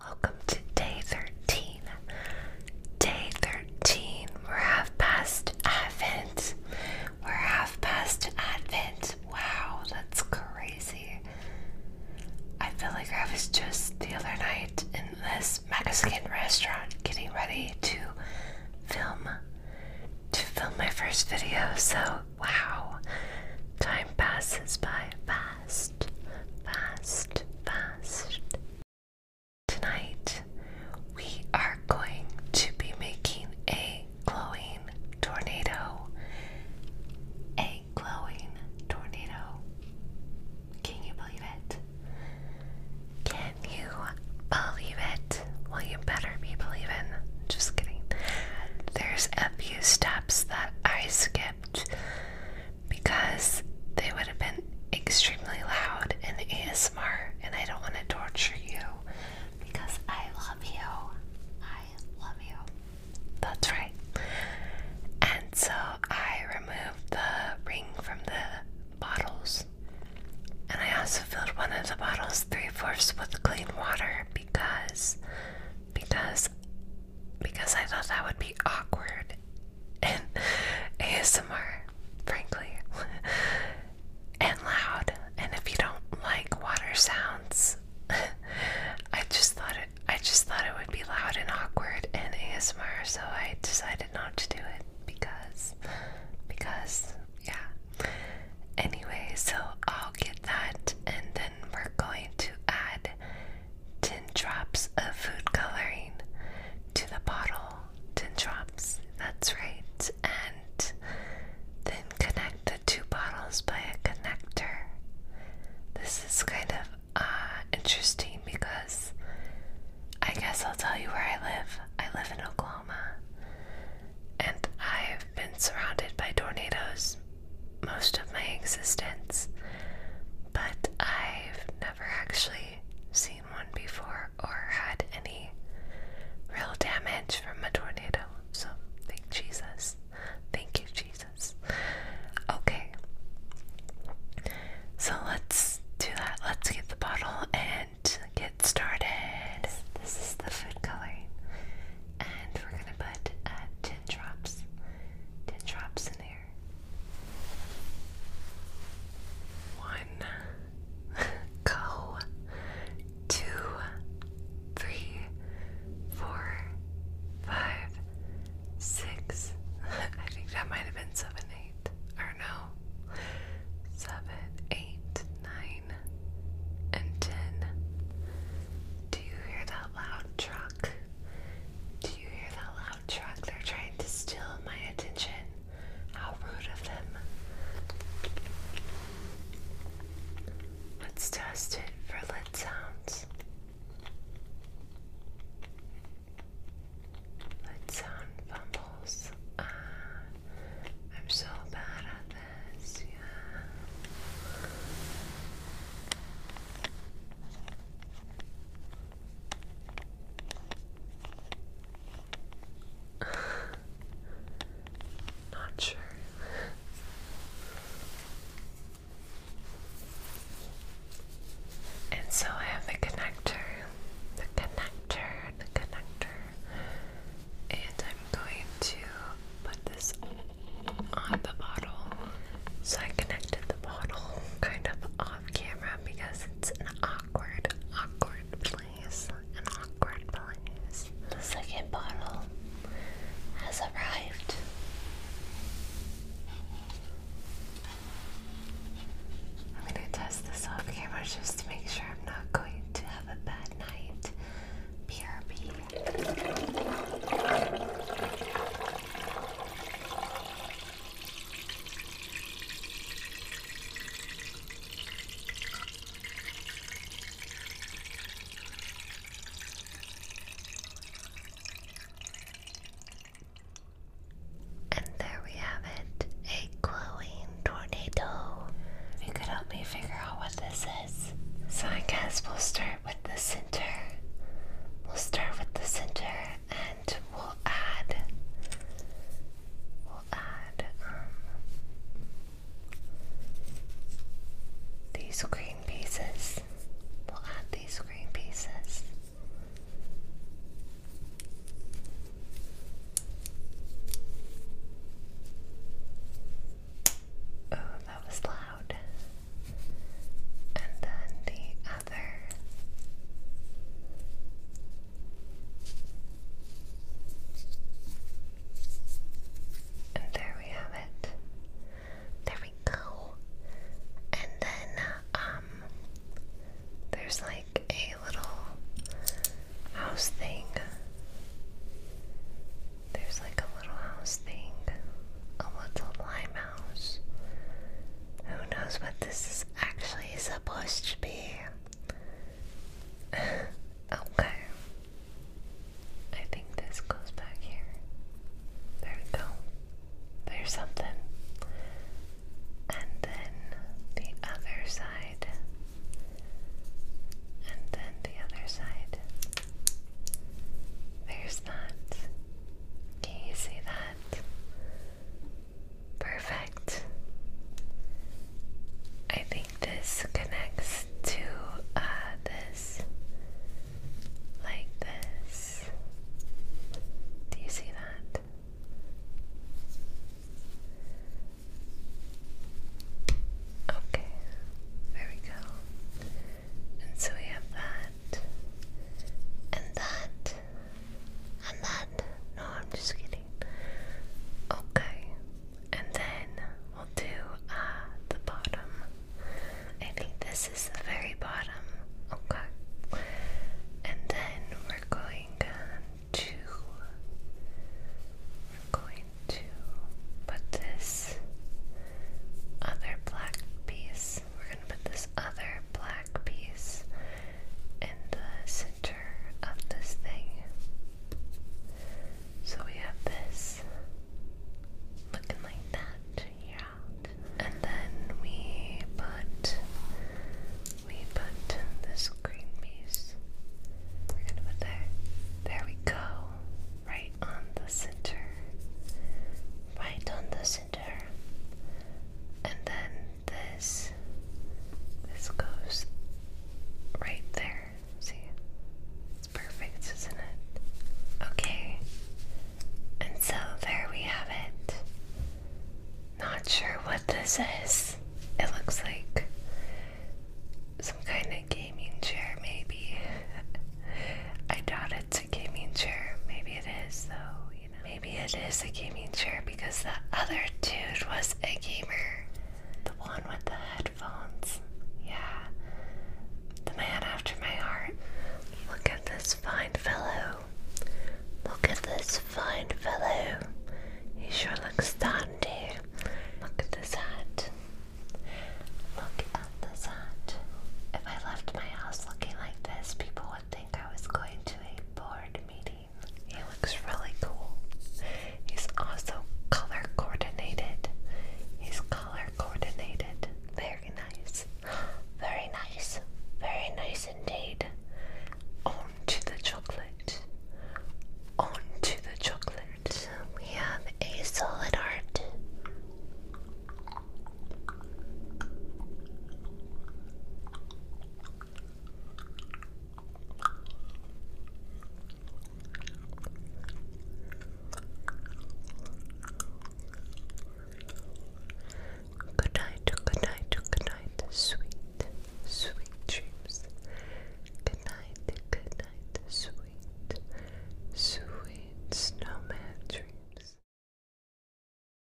Welcome to day 13. Day 13. We're half past Advent. We're half past Advent. Wow, that's crazy. I feel like I was just the other night in this Mexican restaurant getting ready to film to film my first video. So, wow. Time passes by fast fast, fast, fast. Tonight, we are going to be making a glowing tornado. A glowing tornado. Can you believe it? Can you believe it? Well, you better be believing. Just kidding. There's a few steps that I skipped because they would have been extremely loud in ASMR, and I don't want to torture you because I love you. I love you. That's right. And so I removed the ring from the bottles. And I also filled one of the bottles three fourths with clean water because because because I thought that would be awkward and ASMR, frankly, and loud. And if you don't like water sounds, I just thought it. I just thought it would be loud and awkward and ASMR, so I decided not to do it because, because, yeah. Anyway, so I'll get that, and then we're going to add 10 drops of food coloring to the bottle. 10 drops, that's right. And then connect the two bottles by a connector. This is kind of uh, interesting because I guess I'll tell you where I live. I live in Oklahoma and I've been surrounded by tornadoes most of my existence, but I've never actually seen one before or had any real damage from a tornado. So thank Jesus. Thank you, Jesus. Okay. So let's do that. Let's get the bottle and get started. This is the food coloring. And we're going to put uh, 10 drops. 10 drops in there. One, go, two, three, four, five, six. I think that might have been seven, eight, or no, seven, eight, nine, and ten. Do you hear that loud truck? Do you hear that truck. They're trying to steal my attention. How rude of them. Let's test it for lid sounds. Lid sound fumbles. Ah, I'm so bad at this. Yeah. Not sure. and so I have the connector, the connector, the connector, and I'm going to put this on the bottle. So I connected the bottle kind of off camera because it's an awkward, awkward place. An awkward place. The second bottle has arrived. I'm gonna test this off camera just to make sure I'm not going to have a bad night. BRB. And there we have it, a glowing tornado. you could help me figure out what this is. So I guess we'll start with the center. We'll start with the center we'll add we'll add um, these green pieces. We'll add these green pieces. Oh, that was loud. And then the and there we have it. There we go. And then, um, there's like a little house thing. There's like a little house thing, a little limehouse who knows what this is actually supposed to be? okay. I think this goes back here. There we go. There's something. And then the other side. And then the other side. There's that. Can you see that? Perfect. I think this connects to uh, this. Like this. Do you see that? Okay, there we go. And so we have that, and that, and then, no, I'm just kidding. Okay, and then we'll do uh, the bottom. I think this is the very bottom. Okay, and then we're going uh, to we're going to put this other black piece we're going to put this other black piece in the center of this thing. So we have this looking like that here And then we put we put this green piece. We're gonna put there. There we go. Right on the center. Right on the center and then this this goes right there see it's perfect isn't it okay and so there we have it not sure what this is it looks like some kind of gaming chair maybe I doubt it's a gaming chair. Maybe it is, though. Maybe it is a gaming chair because the other dude was a gamer. The one with the headphones. Yeah. The man after my heart. Look at this fine fellow. Look at this fine fellow. He sure looks dandy. Look at this hat. Look at this hat. If I left my house looking like this, people would think I was going to a board meeting. He looks really cool. He's also color coordinated. He's color coordinated. Very nice. Very nice. Very nice indeed. On to the chocolate. On to the chocolate. We have a solid art. Good night, good night, good night, sweet, sweet dreams. Good night, good night, sweet, sweet snowman dreams.